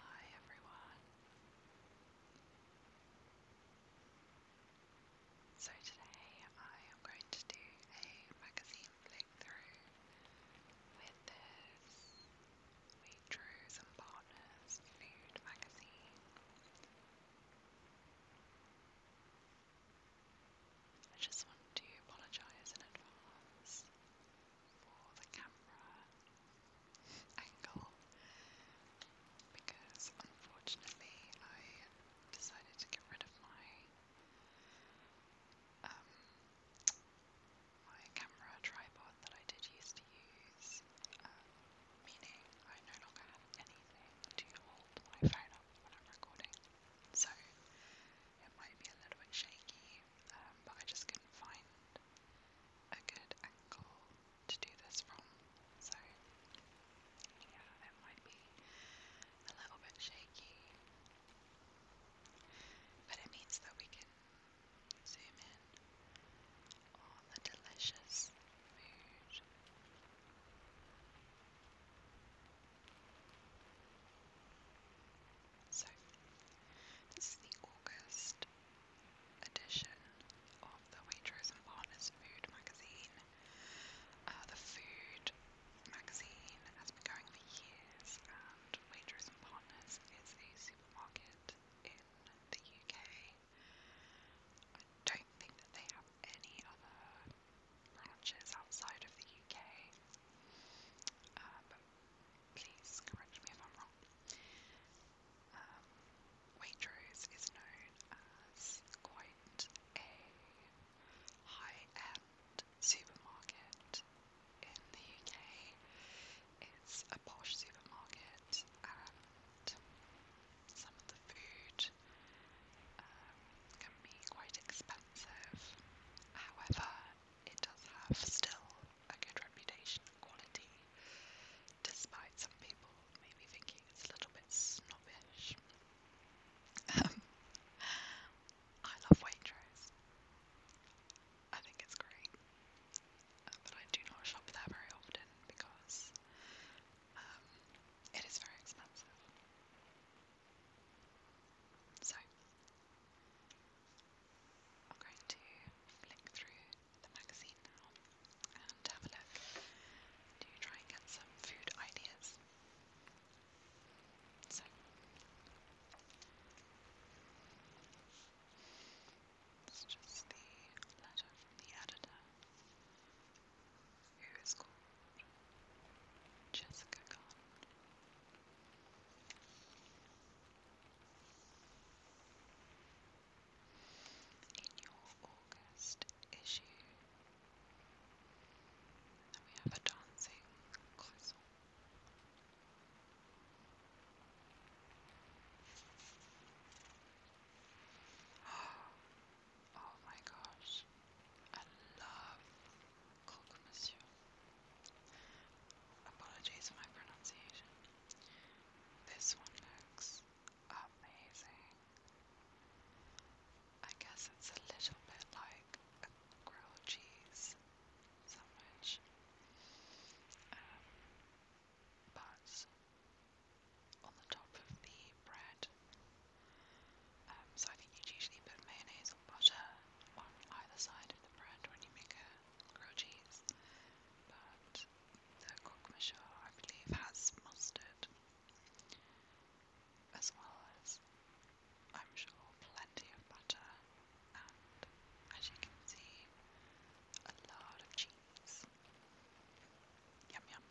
Hi everyone. So today I am going to do a magazine flick through. With this, we drew some partners food magazine. I just want to apologise in advance for the camera angle because unfortunately I decided to get rid of my um my camera tripod that I did used to use, um, meaning I no longer have anything to hold my phone up when I'm recording. So it might be a little bit shaky um, but I just couldn't find a good angle to do this from. So, yeah, it might be a little bit shaky, but it means that we can zoom in on the delicious food. So, this is the August edition of the Waitrose and Partners Food magazine. Uh, the food magazine has been going for years, and Waitrose and Partners is a supermarket in the UK. I don't think that they have any other branches outside of the UK, uh, please correct me if I'm wrong. Um, Waitrose is known as quite a high-end supermarket in the UK. It's a posh supermarket and some of the food um, can be quite expensive. However, it does have still a good reputation and quality, despite some people maybe thinking it's a little bit snobbish. Um, I love Waitrose. I think it's great, uh, but I do not shop there very often because um, it is very expensive. So, I'm going to flick through the magazine now and have a look to try and get some food ideas. So, this is the letter the editor, who is called Jessica Khan in your August issue. we have a dancing castle. Oh my gosh, I love Apologies for my pronunciation. This one looks amazing. I guess it's a little bit like a grilled cheese sandwich. Um, but on the top of the bread, um, so I think you'd usually put mayonnaise or butter on either side of the bread when you make a grilled cheese, but the croque monsieur, I believe, has mustard, as well as, I'm sure, plenty of butter, and as you can see, a lot of cheese. Yum yum.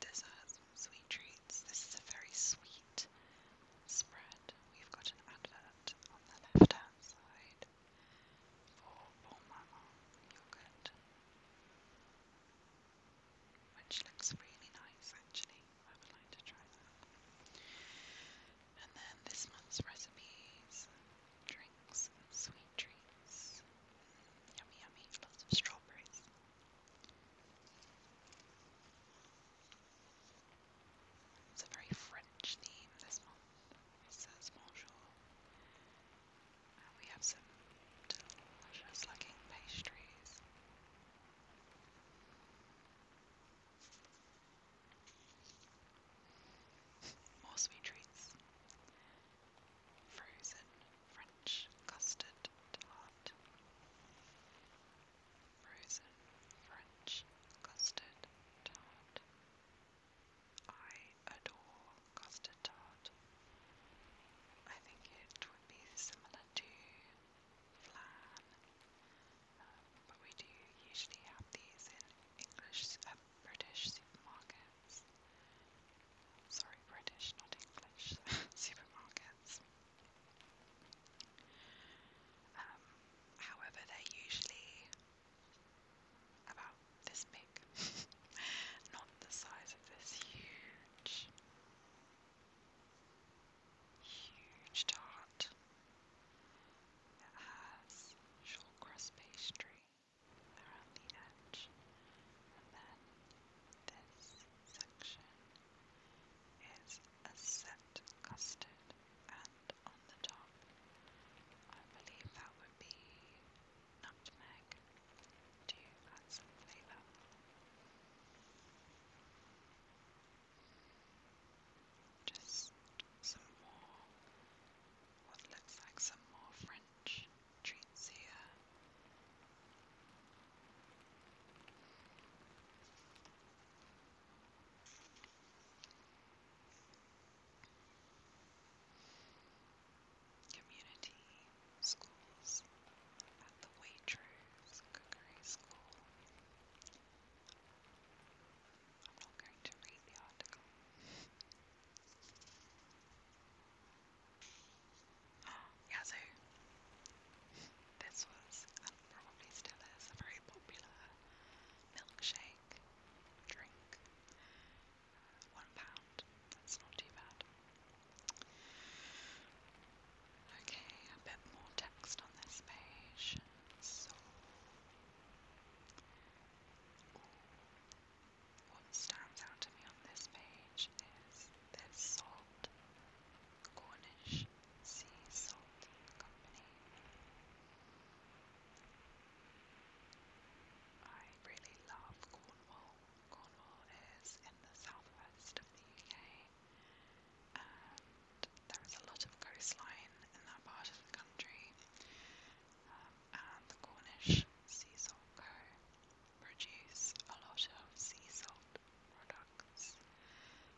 Dessert, sweet treats. This is a very sweet spread. We've got an advert on the left hand side for Bon yogurt, which looks really nice actually. I would like to try that. And then this month's recipes, sweet treats. Yummy, yummy, lots of strawberries. It's a very French theme this month. says bonjour. we have some delicious looking pastries. More sweet treats. Frozen French custard tart. Frozen French custard tart. I adore custard tart. I think it would be similar to flan, um, but we do usually have these in English uh, British supermarkets. Sorry, British, not English, supermarkets. Um, however, they're usually about this big, not the size of this huge, huge tart that has short pastry around the edge, and then this section is a set custard, and on the top, I believe that would be nutmeg to add some flavour. Just some more what looks like some more French treats here. Community schools at the Waitrose Cookery School. I'm This was, and um, probably still is, a very popular milkshake drink. Uh, one pound, that's not too bad. Okay, a bit more text on this page. So, what stands out to me on this page is this salt, Cornish Sea Salt Company. I really love Cornwall. Cornwall is in the southwest of the UK, there is a lot of coastline in that part of the country. Um, and the Cornish Sea Salt Co. produce a lot of sea salt products,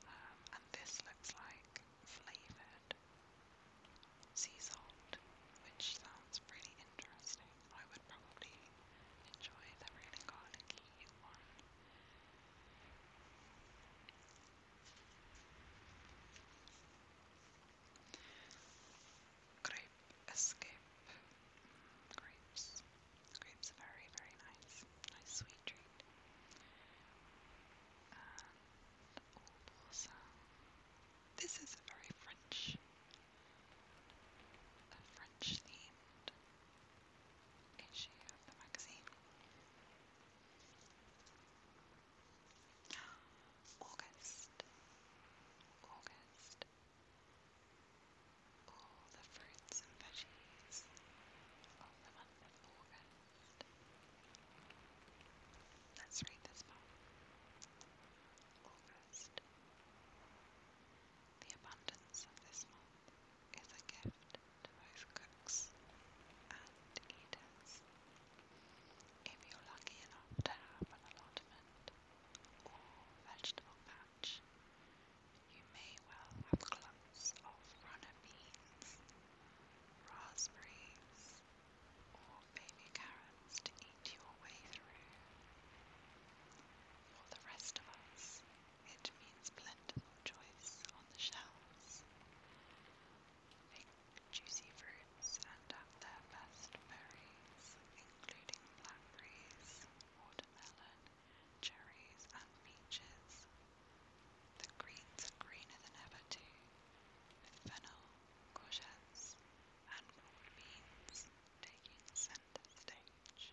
um, and this looks like flavoured sea salt, which sounds pretty interesting. I would probably enjoy the really garlicky one. Grape Escape. Grapes. Grapes very, very nice. Nice sweet treat. And old This is a very French. A French themed issue of the magazine. August. August. All the fruits and veggies of the month August. Let's read this part. August. The abundance of this month is a gift to both cooks and eaters. If you're lucky enough to have an allotment or vegetable patch, you may well have clumps of runner beans, raspberries, or baby carrots to eat your way through. For the rest of us, it means plentiful choice on the shelves juicy fruits and have their best berries, including blackberries, watermelon, cherries, and peaches. The greens are greener than ever too, with fennel, courgettes, and broad beans taking center stage.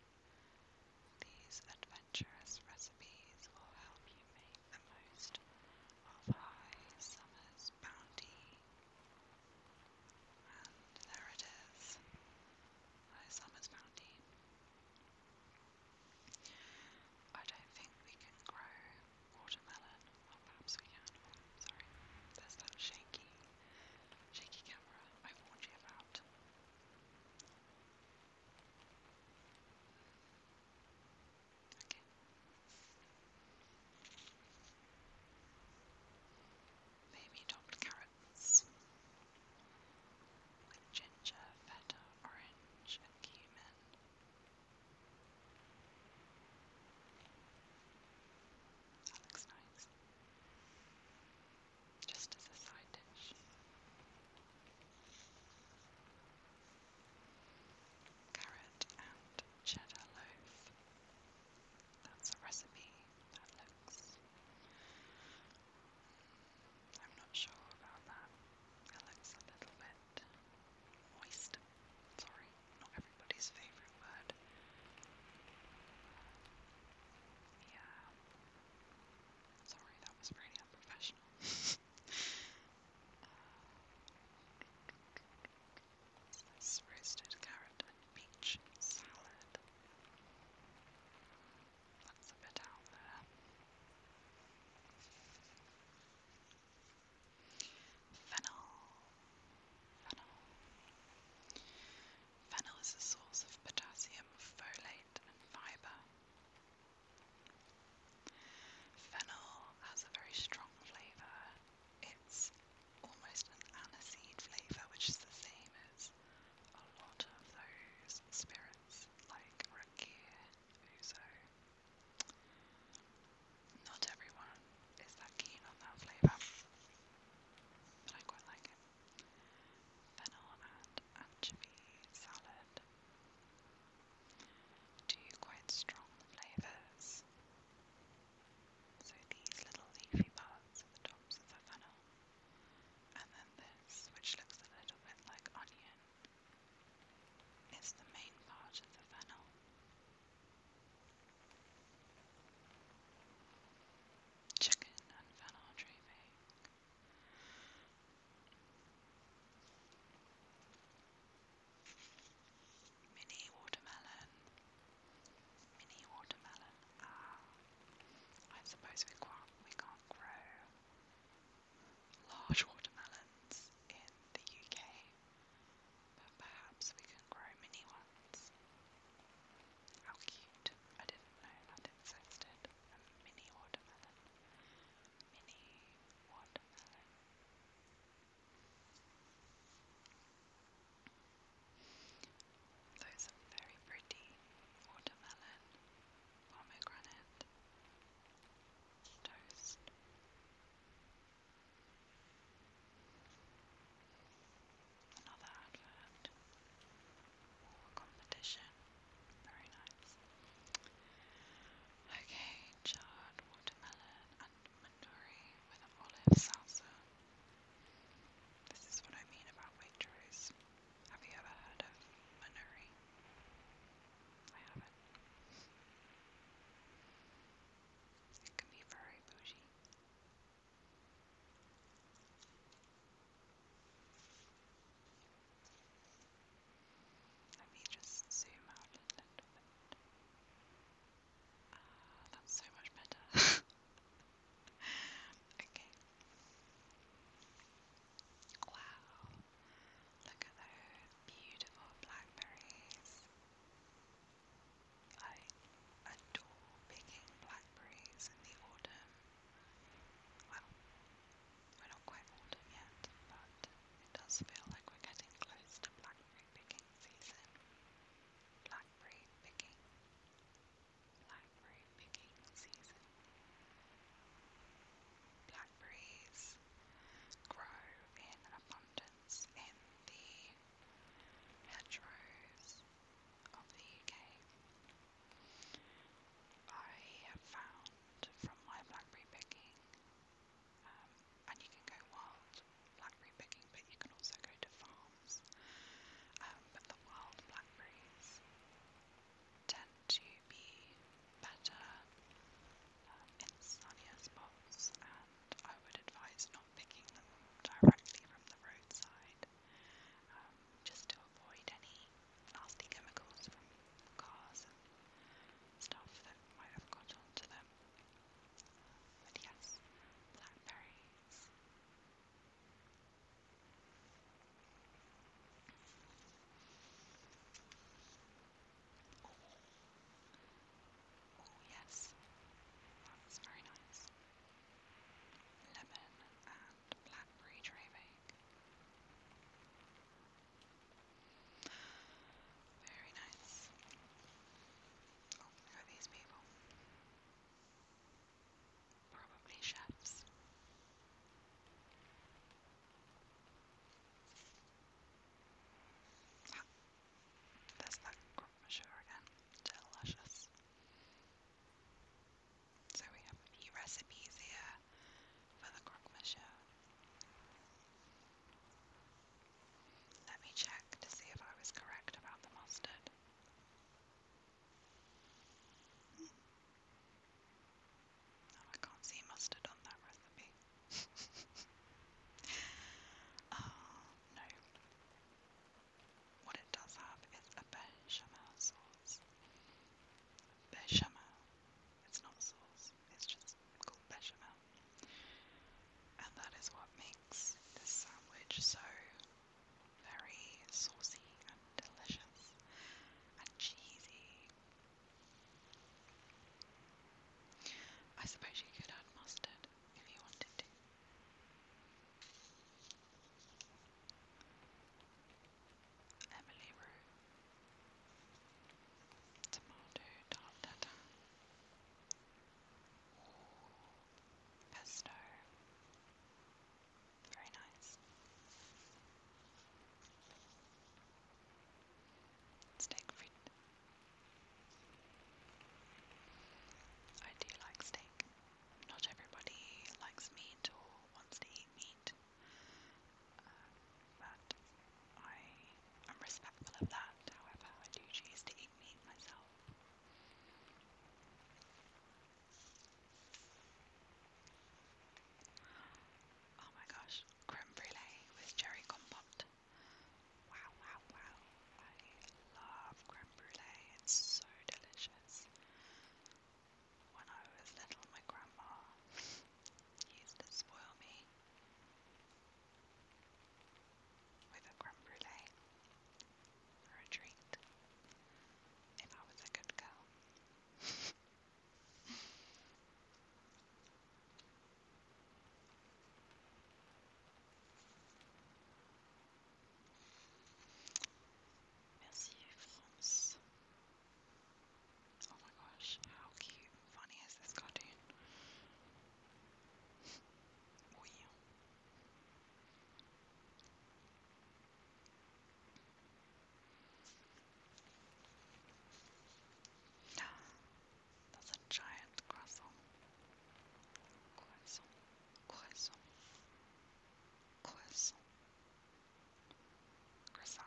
These adventurous recipes will help you make the most of High Summer's bounty. And there it is, Summer's bounty. I don't think we can grow watermelon, oh, perhaps we can, sorry, there's that shaky, shaky camera I warned you Okay. Maybe topped carrots with ginger, feta, orange, and cumin. That looks nice. Just as a side dish carrot and cheddar loaf. That's a recipe that looks. I'm not sure about that. It looks a little bit moist. Sorry, not everybody's favourite word. Yeah. Sorry, that was really unprofessional. Is this roasted carrot and peach salad? That's a bit out there. Fennel. Fennel. Fennel is a source of potassium, folate, and fiber. Fennel has a very strong flavour. It's almost an aniseed flavour, which is the same as a lot of those spirits like rakir, ouzo. Not everyone is that keen on that flavour, but I quite like it. Fennel and anchovy salad two quite strong flavours. So these little leafy parts at the tops of the funnel, and then this, which looks a little bit like onion, is the main part of the funnel. Chicken and funnel driving. Mini watermelon. Mini watermelon. Ah. I suppose we can't, we can't grow large watermelons in the UK, but perhaps we can grow mini ones. How cute. I didn't know that existed. A mini watermelon. Mini watermelon. Those are very pretty watermelon, pomegranate, toast. Another advert or competition. Very nice. Okay, charred watermelon and with olive salsa. This is what I mean about Waitrose. Have you ever heard of mandori? I haven't. It can be very bougie. Let me just zoom out a little bit. Ah, that's so much better. okay. Wow. Look at those beautiful blackberries. I adore picking blackberries in the autumn. Well, we're not quite autumn yet, but it does feel like we're getting close to blackberry picking season. Blackberry picking. Blackberry picking season. Blackberries grow in abundance in the hedgerows of the UK. I have found from my blackberry picking um, and you can go wild blackberry picking, but you can also go to farms. Um, but the wild blackberries tend to be better um, in sunnier spots, and I would advise not picking them directly from the roadside, um, just to avoid any nasty chemicals from cars stuff that might have got onto them. But yes, blackberries. Oh. oh yes, that's very nice. Lemon and blackberry driving. Very nice. Oh, look at these people. Probably chefs. Ah, there's that crumb again. Delicious. So we have a few recipes here for the croque monsieur. Let me check to see if I was correct about the mustard. I can't see mustard on that recipe. Oh, no. What it does have is a bechamel sauce. Bechamel. It's not sauce. It's just called bechamel. And that is what makes this sandwich so very saucy and delicious and cheesy. I suppose you could add mustard if you wanted to. Emily Rue, tomato tartare, pesto, very nice. Steak frites. I do like steak. Not everybody likes meat or wants to eat meat but I am respectful of that, however, I do choose to eat meat myself. Oh my gosh, creme brulee with cherry compote. Wow, wow, wow. I love creme brulee, it's so delicious. When I was little, my grandma he used to spoil me with a creme or a treat if I was a good girl. Merci France. Oh my gosh, how cute funny is this cartoon? wow. That's a giant croissant. Croissant. Croissant. Croissant. Croissant.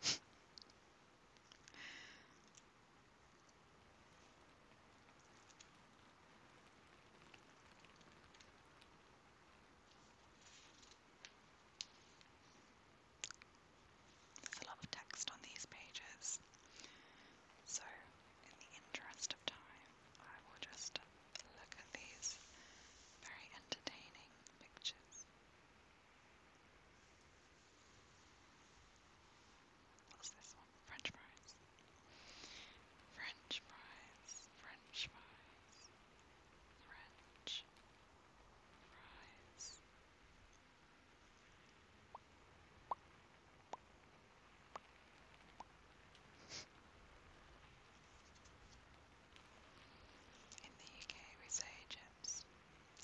There's a lot of text on these pages, so in the interest of time, I will just look at these very entertaining pictures. What's this one? French fries. French fries. French fries. French fries. In the UK, we say chips.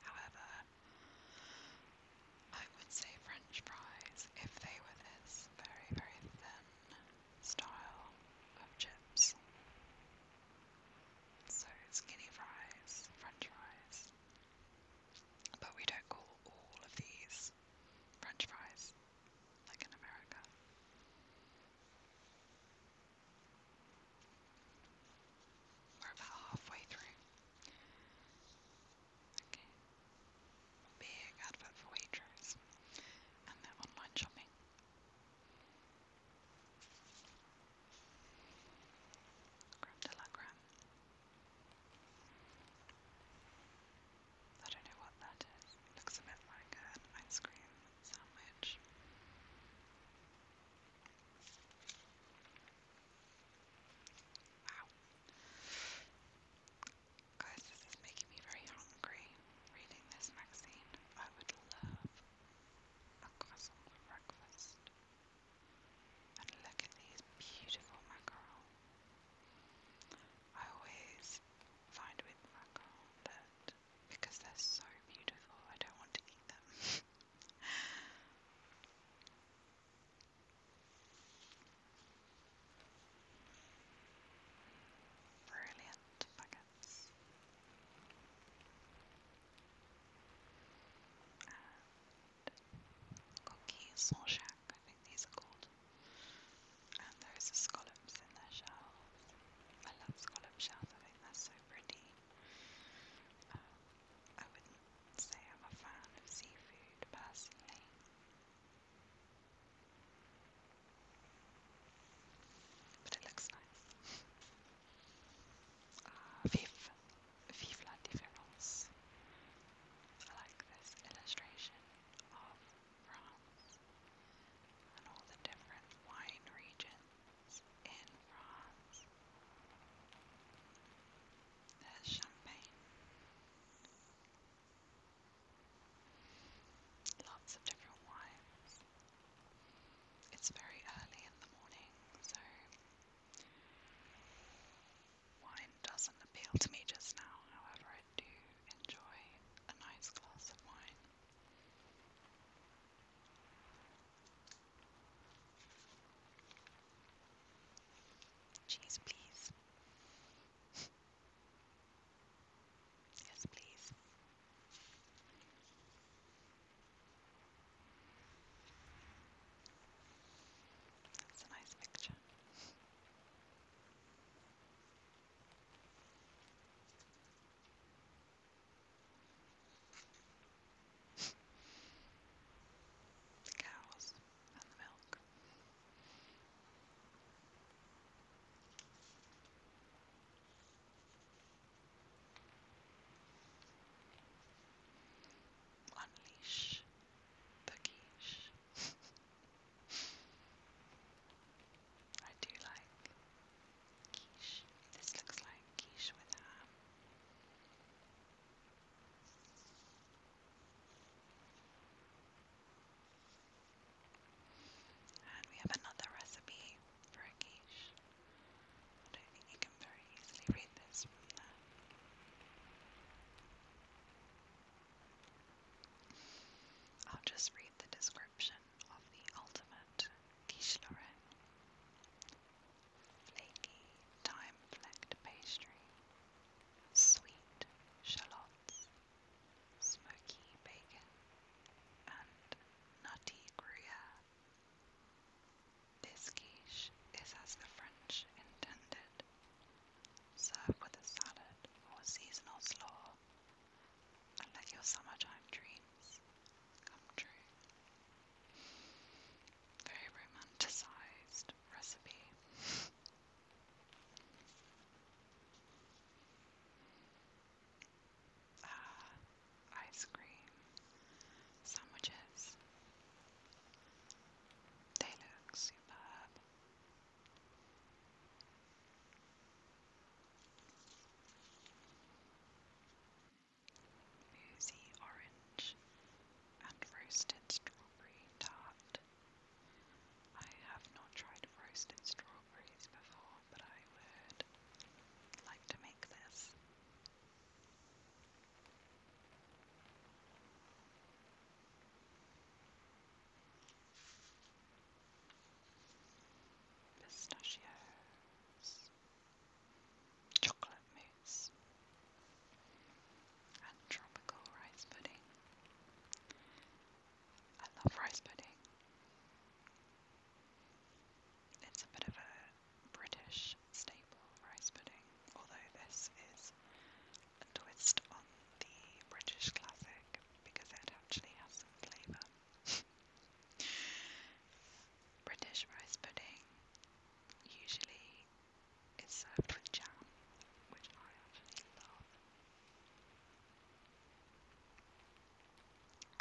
However, I would say French fries if they were this very, very thin style of chips. So skinny fries, French fries. But we don't call all of these French fries like in America. We're about halfway through. Okay. Big advert for Waitrose and their online shopping. Creme de I don't know what that is. looks a bit like ice cream sandwich. Wow. Guys, this is making me very hungry reading this magazine. I would love a croissant breakfast. And look at these beautiful mackerel. I always find with mackerel that because they're so beautiful. I don't want to eat them. Brilliant buckets. cookies or shack, I think these are called. And those scallops in their shells. I love scallop shells, I think they're so um, I wouldn't say I'm a fan of seafood personally. But it looks nice. Uh, vive, I like this illustration of France and all the different wine regions France, in France. There's champagne. Lots of different wines. It's very early in the morning, so wine doesn't appeal to me just now. However, I do enjoy a nice glass of wine. Jeez, please. yes, please. That's a nice picture. The cows and the milk. Unleash the quiche. I do like quiche. This looks like quiche with ham. And we have another recipe for a quiche. I don't think you can very easily read this from there. I'll just read the description of the ultimate quiche Lorraine. Flaky, time-flecked pastry, sweet shallots, smoky bacon, and nutty gruyere. This quiche is as the French intended. Serve with a salad or seasonal slaw and let your summertime dreams come true. Very romanticized recipe. Ah, ice cream, sandwiches. They look superb. Boozy orange and roasted strawberry tart. I have not tried roasted strawberries before, but I would like to make this pistachios, chocolate mousse, and tropical rice pudding. I love rice pudding. It's a bit of a British staple, rice pudding, although this is a twist on the British classic because it actually has some flavour. British rice pudding usually is served with jam, which I actually love.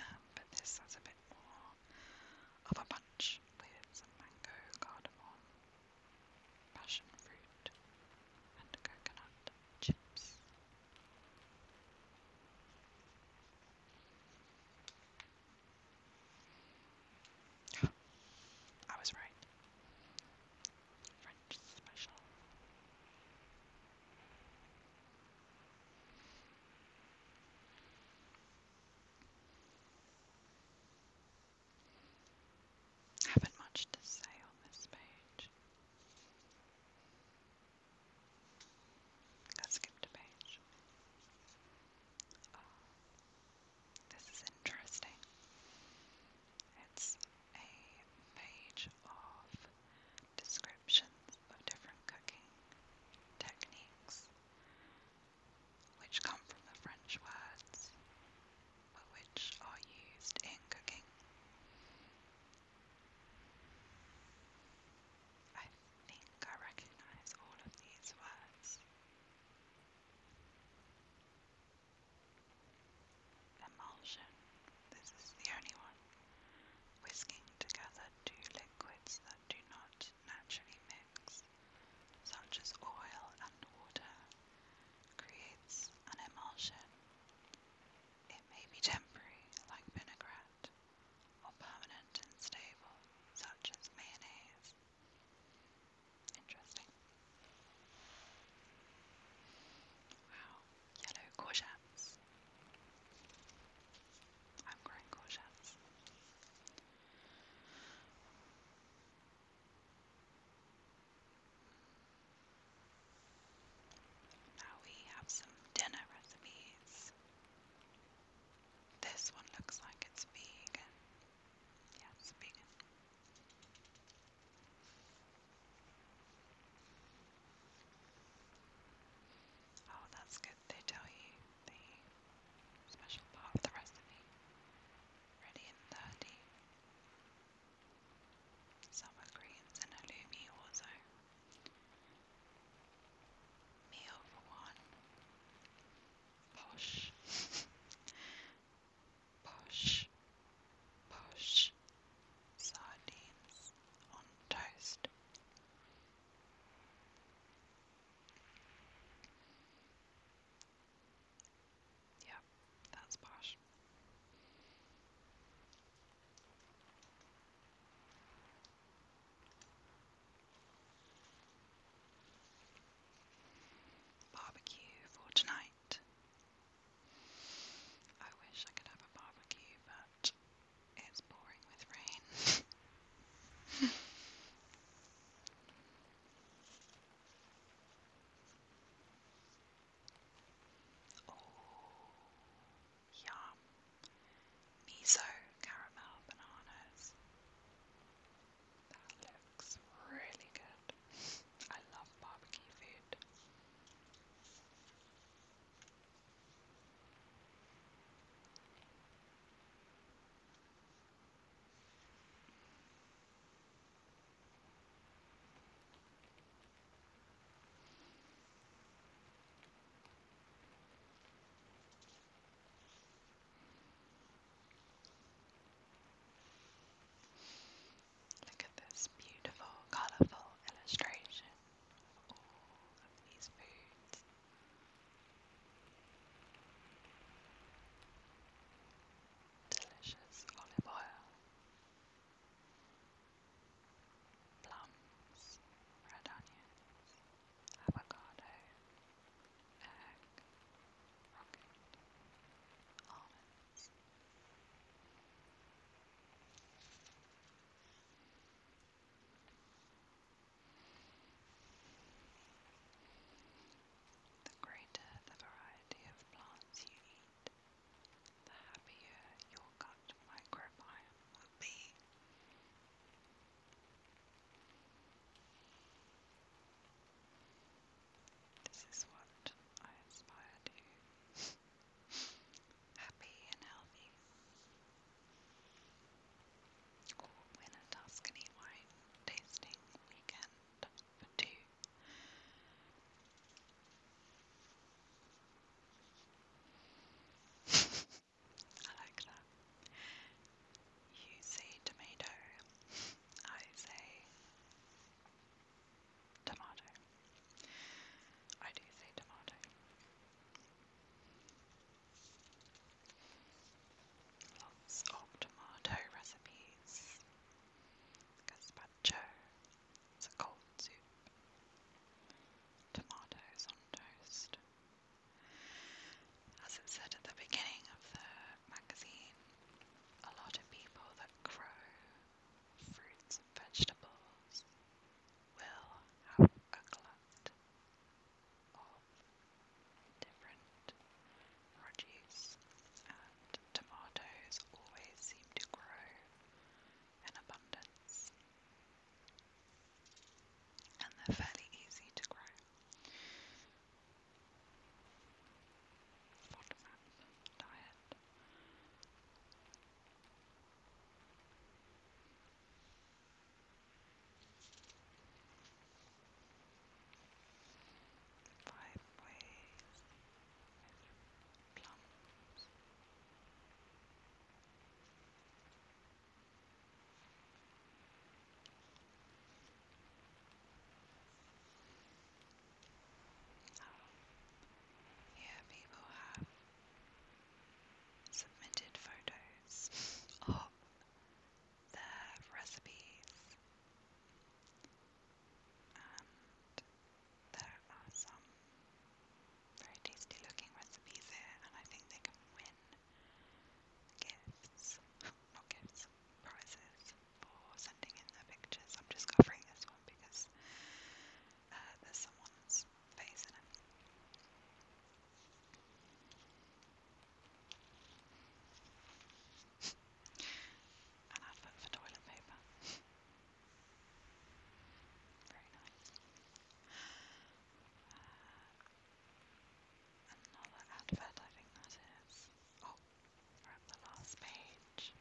Um, but this has a bit more of a punch with some mango, cardamom, passion fruit, and coconut chips. I was right. French special. Haven't much to say on this page. I skipped a page. Oh, this is interesting. It's a page of descriptions of different cooking techniques, which come from the French words, but which are used in cooking. I think I recognize all of these words. Emulsion. This is the only one. Whisking together two liquids that do not naturally mix, such as oil and water, creates an emulsion. It may be temporary, like vinaigrette, or permanent and stable, such as mayonnaise. Interesting. Wow, yellow courgettes. I'm growing courgettes. Now we have some dinner recipes. This one looks like it's vegan. Yeah, it's vegan. Oh, that's good. They tell you the special part of the recipe. Ready in 30. Summer greens and a halloumi also. Meal for one. Posh. Posh. Posh. Sardines on toast. Yep, that's posh. Barbecue for tonight. I wish I could have a barbecue, but it's boring with rain. Oh, Yum. Miso caramel bananas. That looks really good. I love barbecue food. Look at this beautiful, colourful illustration all of these foods. Delicious olive oil plums, red onions, avocado, egg, rocket, almonds. The greater the variety of plants you eat, the happier your gut microbiome will be. This is what I aspire to. Happy and healthy. Or win a Tuscany wine tasting weekend for two. I like that. You say tomato, I say tomato. I do say tomato. Lots of tomato recipes. Gazpacho, it's a cold soup. Tomatoes on toast. As it said at the beginning of the magazine, a lot of people that grow fruits and vegetables will have a glut of different produce, and tomatoes always seem to grow in abundance. And they're fairly easy to grow. Bottom diet. Five ways plum. Oh. Here people have submitted photos of their recipes and there are some very tasty looking recipes here, and I think they can win gifts, not gifts, prizes for sending in their pictures. I'm just covering this one because uh, there's someone's face in it. An advert for toilet paper. Very nice. another advert, I think that is. Oh, we're at the last page.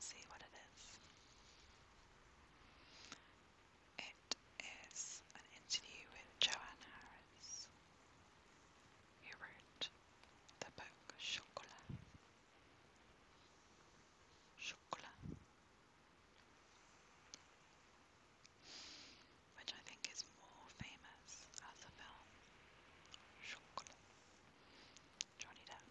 see what it is. It is an interview with Joanne Harris, who wrote the book Chocolat. Chocolat. Which I think is more famous as a film. Chocolat. Johnny Depp.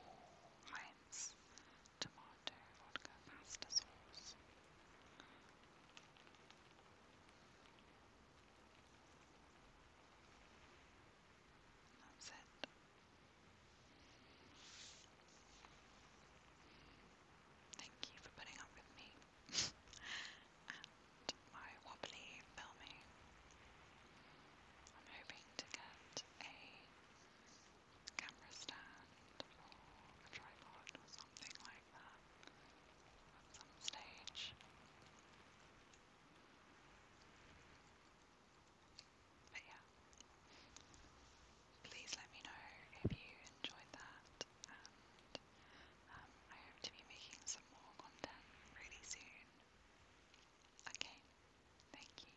Ooh, Heinz. Tomato. That's it. Thank you for putting up with me and my wobbly filming. I'm hoping to get a camera stand or tripod something like that some stage. But yeah, please let me know if you enjoyed that, um, I hope to be making some more content really soon. Okay, thank you.